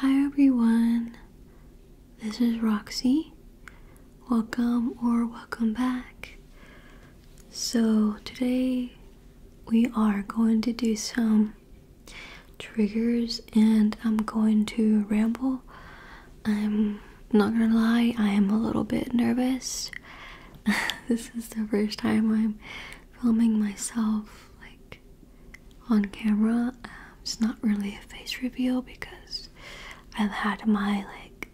Hi everyone, this is Roxy. Welcome or welcome back. So, today we are going to do some triggers and I'm going to ramble. I'm not gonna lie, I am a little bit nervous. this is the first time I'm filming myself, like, on camera. Um, it's not really a face reveal because I've had my like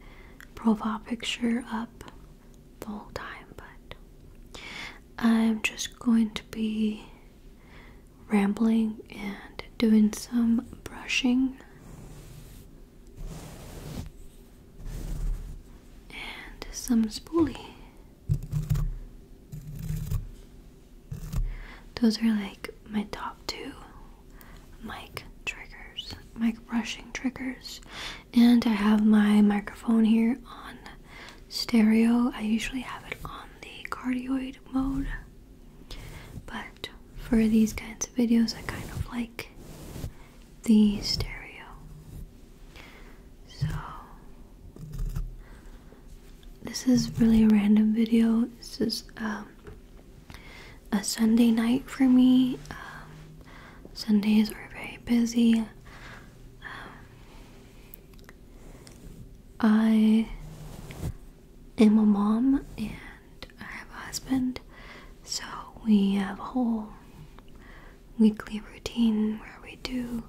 profile picture up the whole time, but I'm just going to be rambling and doing some brushing. And some spoolie. Those are like my top two mic triggers, mic brushing triggers. And I have my microphone here on stereo. I usually have it on the cardioid mode. But for these kinds of videos, I kind of like the stereo. So, this is really a random video. This is um, a Sunday night for me. Um, Sundays are very busy. Um, I am a mom and I have a husband, so we have a whole weekly routine where we do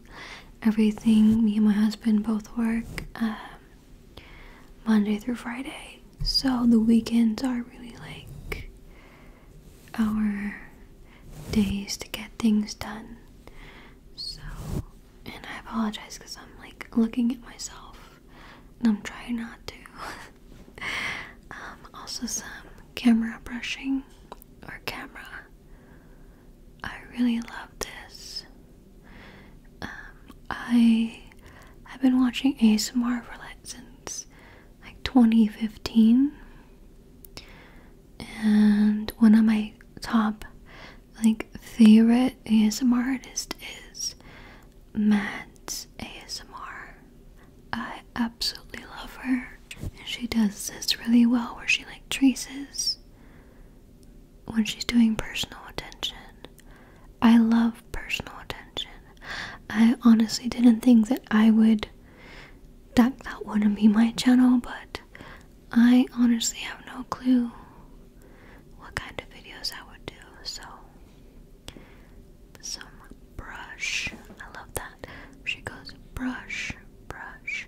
everything. Me and my husband both work um, Monday through Friday, so the weekends are really like our days to get things done. So, and I apologize because I'm like looking at myself and I'm trying not to. Um, also, some camera brushing or camera I really love this. Um, I have been watching ASMR for like since like 2015, and one of my top like favorite ASMR artist is Mads ASMR. I absolutely love her, and she does this really well where she like traces when she's doing personal attention. I love personal attention. I honestly didn't think that I would that that wouldn't be my channel, but I honestly have no clue what kind of videos I would do. So some brush. I love that. She goes brush, brush,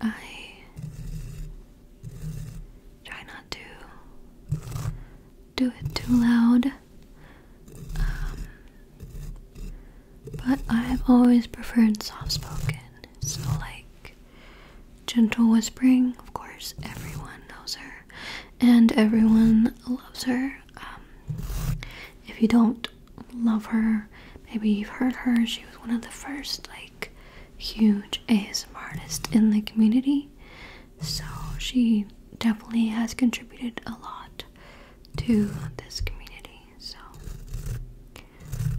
I try not to do it too loud. Um, but I've always preferred soft spoken, so like gentle whispering. Of course, everyone knows her and everyone loves her. Um, if you don't love her. Maybe you've heard her. She was one of the first like huge ASMR artist in the community. So she definitely has contributed a lot to this community. So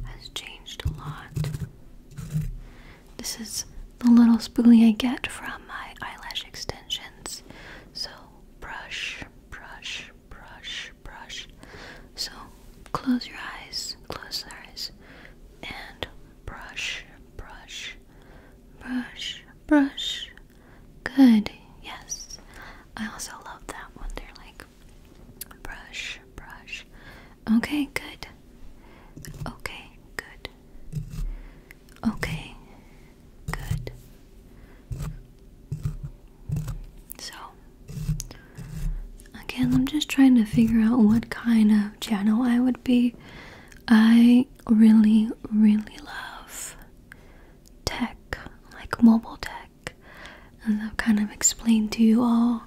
has changed a lot. This is the little spoolie I get from my eyelash extensions. So brush, brush, brush, brush. So close your eyes, close your eyes, and brush, brush, brush, brush. Good, yes. I also love that one. They're like brush, brush. Okay, good. Okay, good. Okay, good. So Again, I'm just trying to figure out what kind of channel I would be. I really, really love tech, like mobile tech, and I've kind of explained to you all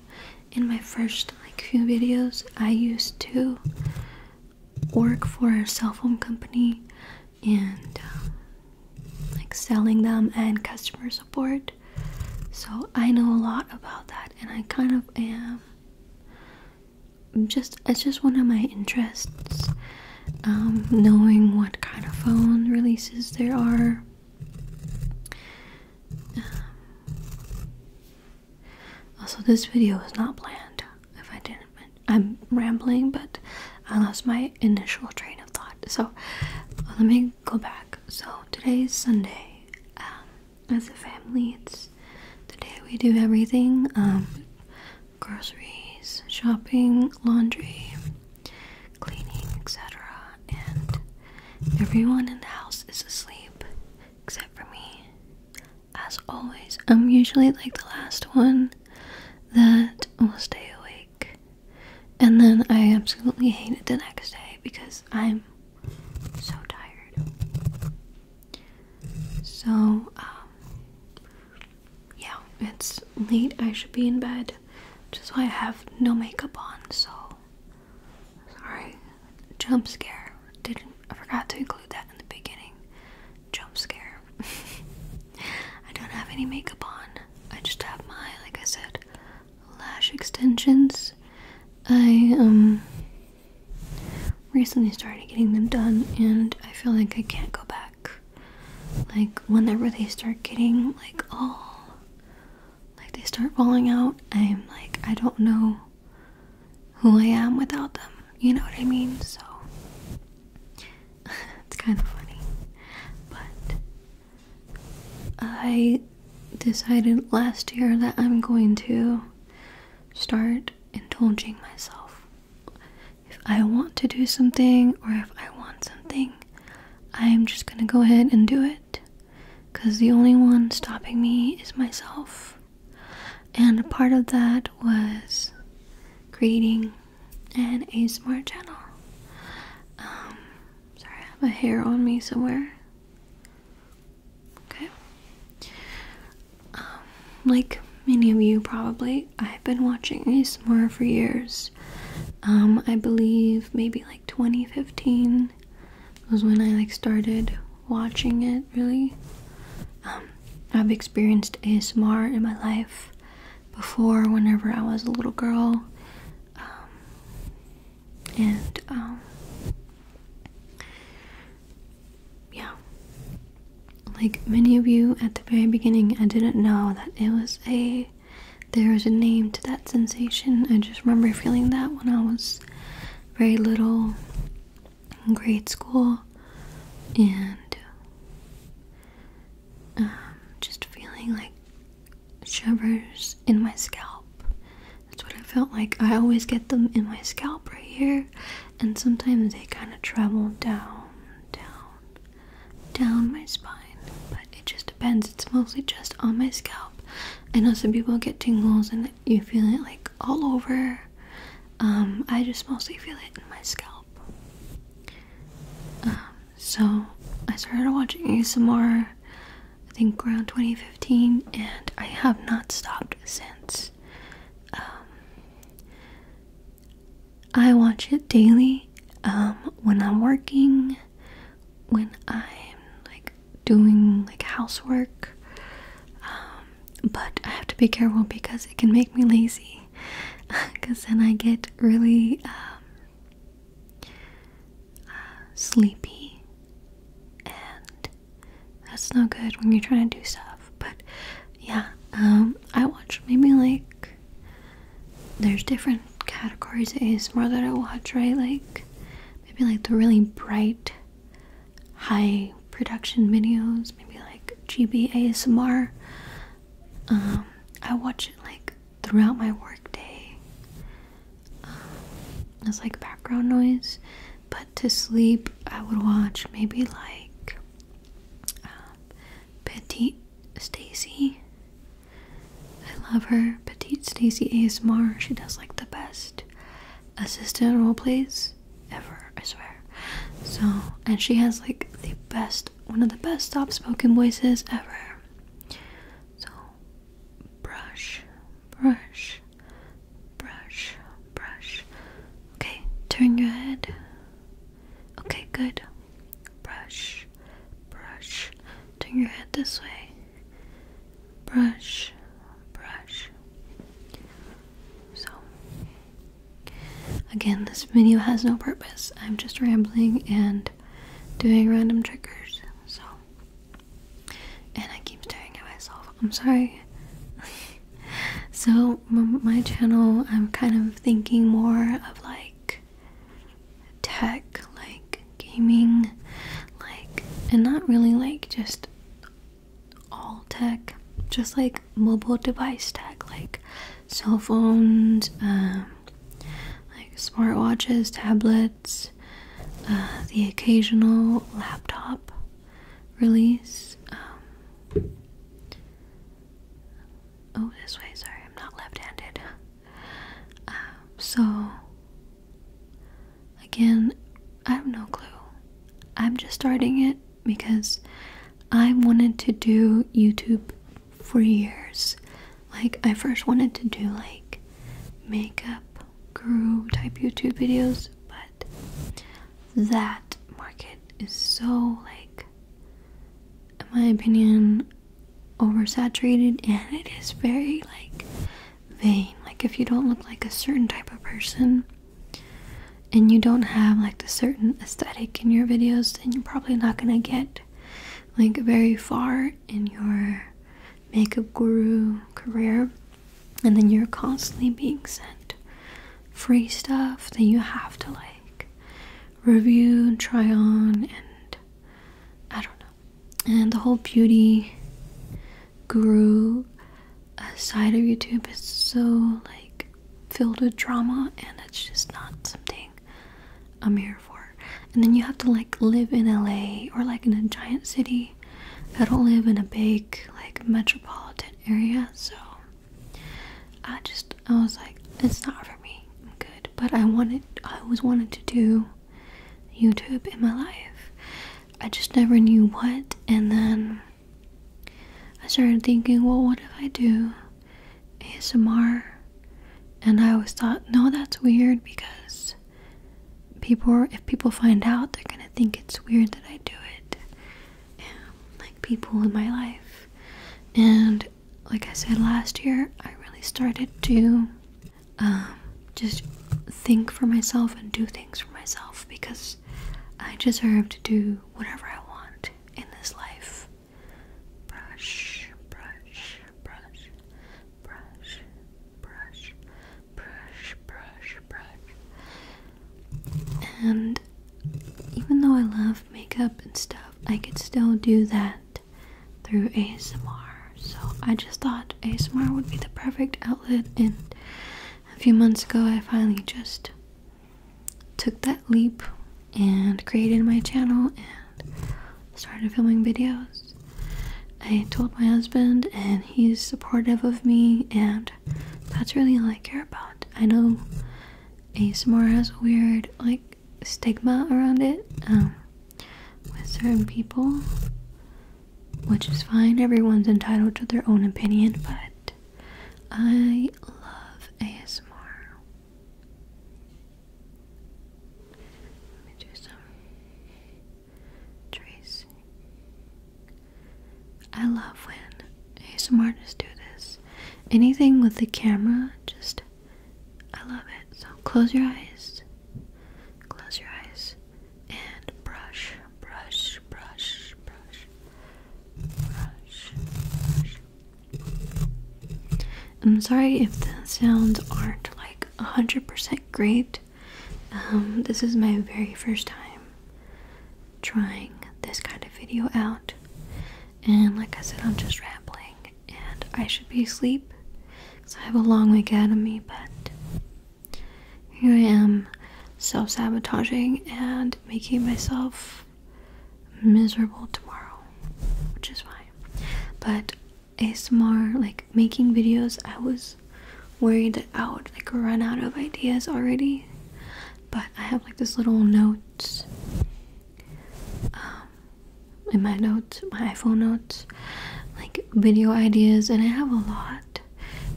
in my first like few videos. I used to work for a cell phone company and um, like selling them and customer support. So I know a lot about that and I kind of am just it's just one of my interests um, knowing what kind of phone releases there are um, also this video was not planned if I didn't I'm rambling but I lost my initial train of thought so let me go back. So today is Sunday. Um, as a family, it's the day we do everything um, groceries, shopping, laundry, cleaning, etc. And everyone in the house is asleep except for me. As always, I'm usually like the last one that will stay awake and then I absolutely hate it the next day because I'm so tired. So, um, yeah, it's late. I should be in bed. Just why I have no makeup on, so sorry. Jump scare. Didn't I forgot to include that in the beginning. Jump scare. I don't have any makeup on. I just have my, like I said, lash extensions. I um recently started getting them done and I feel like I can't go back. Like whenever they start getting like all like they start falling out, I'm like I don't know who I am without them. You know what I mean? So it's kind of funny. But I decided last year that I'm going to start indulging myself. If I want to do something or if I want something, I'm just gonna go ahead and do it. Because the only one stopping me is myself. And part of that was creating an ASMR channel. Um, Sorry, I have a hair on me somewhere. Okay. Um, like many of you probably, I've been watching ASMR for years. Um, I believe maybe like 2015 was when I like started watching it really. Um, I've experienced ASMR in my life before whenever I was a little girl. Um, and um, yeah like many of you at the very beginning i didn't know that it was a there was a name to that sensation i just remember feeling that when i was very little in grade school and um, just feeling like shivers in my scalp. That's what I felt like. I always get them in my scalp right here, and sometimes they kind of travel down, down, down my spine. But it just depends. It's mostly just on my scalp. I know some people get tingles and you feel it like all over. Um, I just mostly feel it in my scalp. Um, so I started watching some more. I think around 2015, and I have not stopped since. Um, I watch it daily um, when I'm working, when I'm like doing like housework, um, but I have to be careful because it can make me lazy because then I get really uh, sleepy, and that's no good when you're trying to do stuff. But yeah, um, I watch maybe like there's different categories of ASMR that I watch, right? Like maybe like the really bright, high production videos, maybe like GB ASMR. Um, I watch it like throughout my workday um, as like background noise. But to sleep, I would watch maybe like um, Petite Stacy. I love her, Petite Stacy ASMR. She does like the best assistant role plays ever, I swear. So, and she has like the best, one of the best soft spoken voices ever. So, brush, brush, brush, brush. Okay, turn your head. Okay, good. Brush, brush. Turn your head this way. Brush, brush. So, again, this video has no purpose. I'm just rambling and doing random triggers. So, and I keep staring at myself. I'm sorry. so, my channel, I'm kind of thinking more of like tech, like gaming, like, and not really like just all tech, just like mobile device tech, like cell phones, um, like smartwatches, tablets, uh, the occasional laptop release. Um, oh, this way, sorry, I'm not left handed. Um, so, again, I have no clue. I'm just starting it because I wanted to do YouTube for years. Like, I first wanted to do like makeup groove type YouTube videos, but that market is so like in my opinion oversaturated and it is very like vain. Like if you don't look like a certain type of person and you don't have like the certain aesthetic in your videos, then you're probably not gonna get like very far in your makeup guru career, and then you're constantly being sent free stuff that you have to like review, try on, and I don't know. And the whole beauty guru uh, side of YouTube is so like filled with drama, and it's just not something I'm here and then you have to like live in LA or like in a giant city. I don't live in a big like metropolitan area, so I just I was like, it's not for me. I'm good. But I wanted I always wanted to do YouTube in my life. I just never knew what and then I started thinking, well what if I do ASMR? And I always thought, no, that's weird because people if people find out they're gonna think it's weird that I do it like people in my life and like I said last year I really started to um, just think for myself and do things for myself because I deserve to do whatever I want in this life brush brush brush brush, brush, brush, brush, brush. And even though I love makeup and stuff, I could still do that through ASMR. So I just thought ASMR would be the perfect outlet, and a few months ago, I finally just took that leap and created my channel and started filming videos. I told my husband, and he's supportive of me, and that's really all I care about. I know ASMR has a weird, like, stigma around it um, with certain people, which is fine. Everyone's entitled to their own opinion, but I love ASMR. Let me do some tracing. I love when ASMR just do this. Anything with the camera, just I love it. So close your eyes, close your eyes, and brush, brush, brush, brush, brush, brush. I'm sorry if the sounds aren't like 100% great. Um, this is my very first time trying this kind of video out, and like I said, I'm just rambling, and I should be asleep because I have a long week ahead of me, but here I am self sabotaging and making myself miserable tomorrow, which is fine. But ASMR, like making videos, I was worried that I would like run out of ideas already. But I have like this little notes um, in my notes, my iPhone notes, like video ideas, and I have a lot,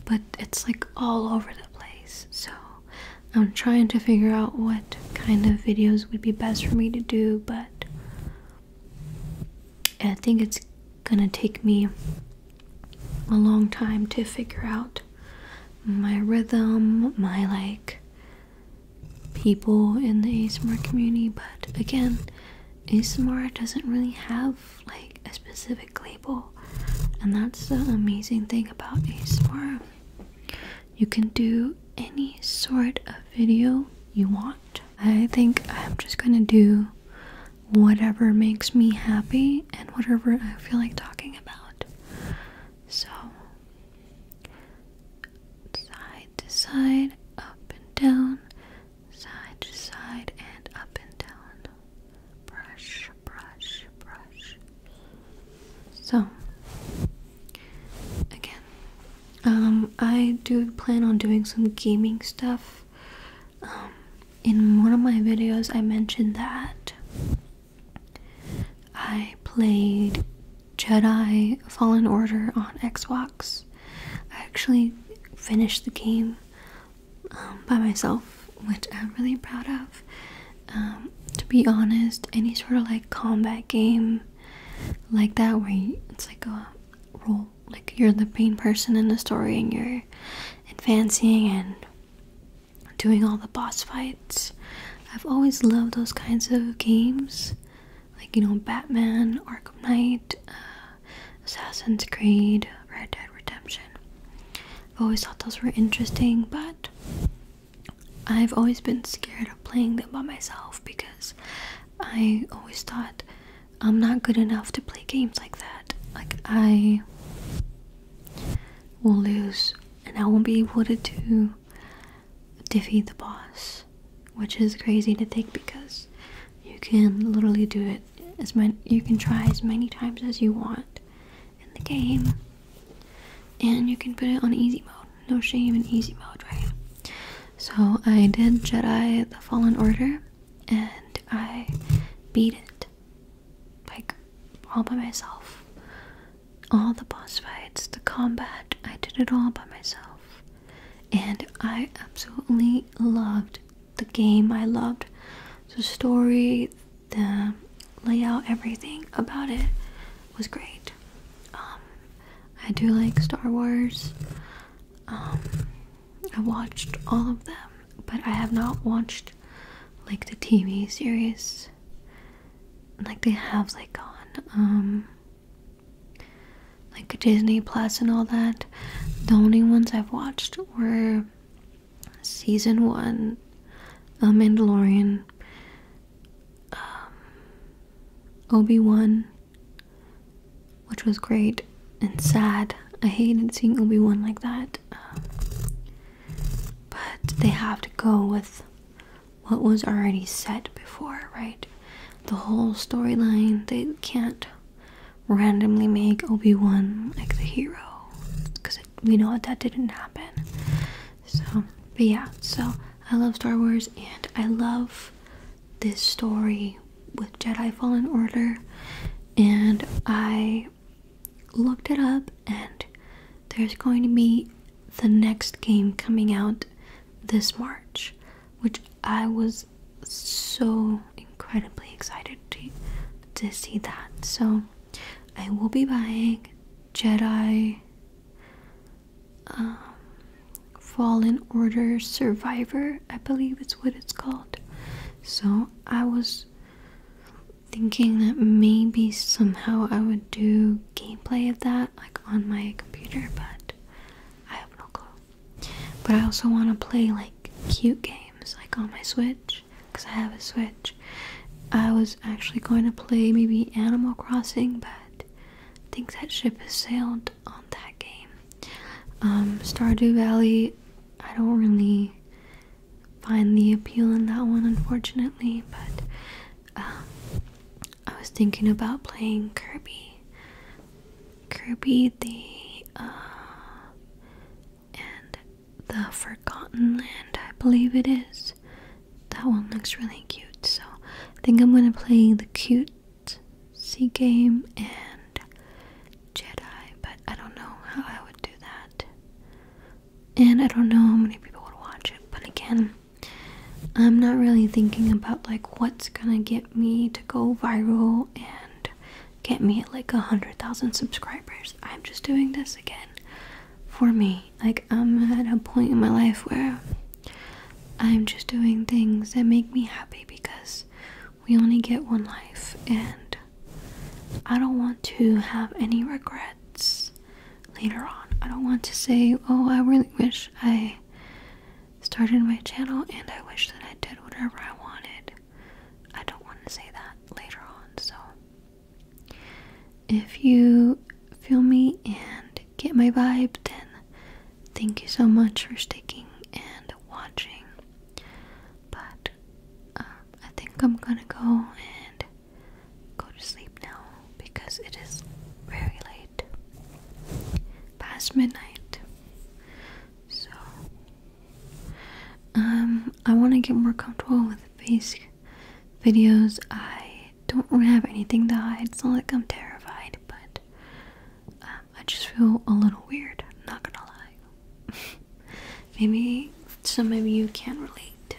but it's like all over the place. So I'm trying to figure out what kind of videos would be best for me to do, but I think it's gonna take me a long time to figure out my rhythm, my like people in the ASMR community, but again, ASMR doesn't really have like a specific label, and that's the amazing thing about ASMR. You can do any sort of video you want. I think I'm just gonna do whatever makes me happy and whatever I feel like talking about. So, side to side, up and down, side to side, and up and down. Brush, brush, brush. So, again, um, I do plan on doing some gaming stuff um, in one of my videos, I mentioned that I played Jedi Fallen Order on Xbox. I actually finished the game um, by myself, which I'm really proud of. Um, to be honest, any sort of like combat game like that, where it's like a roll like you're the main person in the story and you're advancing and doing all the boss fights. I've always loved those kinds of games. Like, you know, Batman, Arkham Knight, uh, Assassin's Creed, Red Dead Redemption. I've always thought those were interesting, but I've always been scared of playing them by myself because I always thought I'm not good enough to play games like that. Like, I will lose and I won't be able to, to defeat the boss, which is crazy to think because you can literally do it as many, you can try as many times as you want in the game, and you can put it on easy mode. No shame in easy mode, right? So, I did Jedi the Fallen Order and I beat it like all by myself. All the boss fights, the combat, I did it all by myself. And I absolutely loved the game. I loved the story, the layout, everything about it was great. Um, I do like Star Wars. Um, I watched all of them, but I have not watched like the TV series like they have like on um like Disney Plus and all that. The only ones I've watched were season one, *The uh, Mandalorian, um, Obi Wan, which was great and sad. I hated seeing Obi Wan like that, but they have to go with what was already set before, right? The whole storyline. They can't randomly make Obi Wan like the hero because we know that that didn't happen. So, but yeah. So I love Star Wars and I love this story with Jedi Fallen Order and I looked it up and there's going to be the next game coming out this March which I was so incredibly excited to to see that. So I will be buying Jedi um, Fallen Order Survivor, I believe it's what it's called. So I was thinking that maybe somehow I would do gameplay of that like on my computer, but I have no clue. But I also want to play like cute games like on my Switch because I have a Switch. I was actually going to play maybe Animal Crossing, but I think that ship has sailed on that game. Um, Stardew Valley, I don't really find the appeal in that one, unfortunately, but um, I was thinking about playing Kirby. Kirby the uh, and the Forgotten Land, I believe it is. That one looks really cute, so I think I'm gonna play the cute Knight, Sea Game, and Jedi, but I don't know how I would do that. And I don't know how many people would watch it, but again, I'm not really thinking about like what's gonna get me to go viral and get me like a hundred thousand subscribers. I'm just doing this again for me. Like I'm at a point in my life where I'm just doing things that make me happy because we only get one life, and I don't want to have any regrets later on. I don't want to say, Oh, I really wish I started my channel and I wish that I did whatever I wanted. I don't want to say that later on. So, if you feel me and get my vibe, then thank you so much for sticking and watching. But um, I think I'm gonna go and go to sleep now because it is very late, past midnight. So um, I want to get more comfortable with face videos. I don't want to have anything to hide. It's not like I'm terrified, but um, I just feel a little weird, not gonna lie. maybe some of you can relate.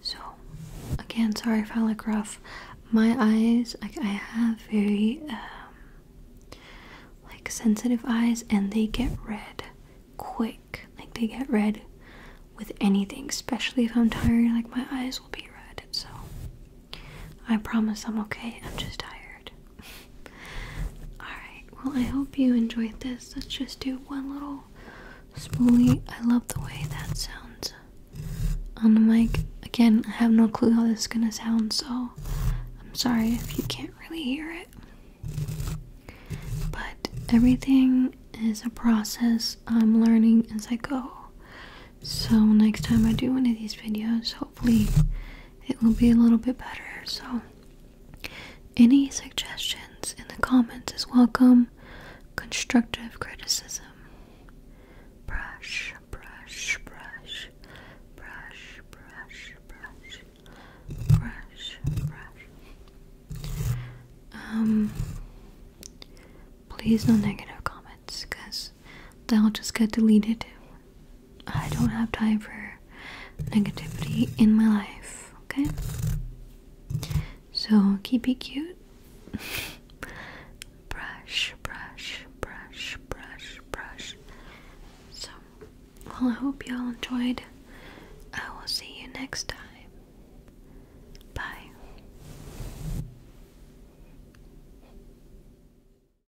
So, again, sorry if I look rough. My eyes, I have very, um, like, sensitive eyes, and they get red quick. Like, they get red with anything, especially if I'm tired, like, my eyes will be red. So, I promise I'm okay. I'm just tired. Alright, well, I hope you enjoyed this. Let's just do one little spoolie. I love the way that sounds on the mic. Again, I have no clue how this is gonna sound, so I'm sorry if you can't really hear it. But everything is a process I'm learning as I go. So, next time I do one of these videos, hopefully it will be a little bit better. So, any suggestions in the comments is welcome. Constructive criticism. Brush, brush, brush, brush, brush, brush, brush, brush. Um, please no negative comments, cause they'll just get deleted I don't have time for negativity in my life, okay? So keep it cute. brush, brush, brush, brush, brush. So, well, I hope you all enjoyed. I will see you next time. Bye.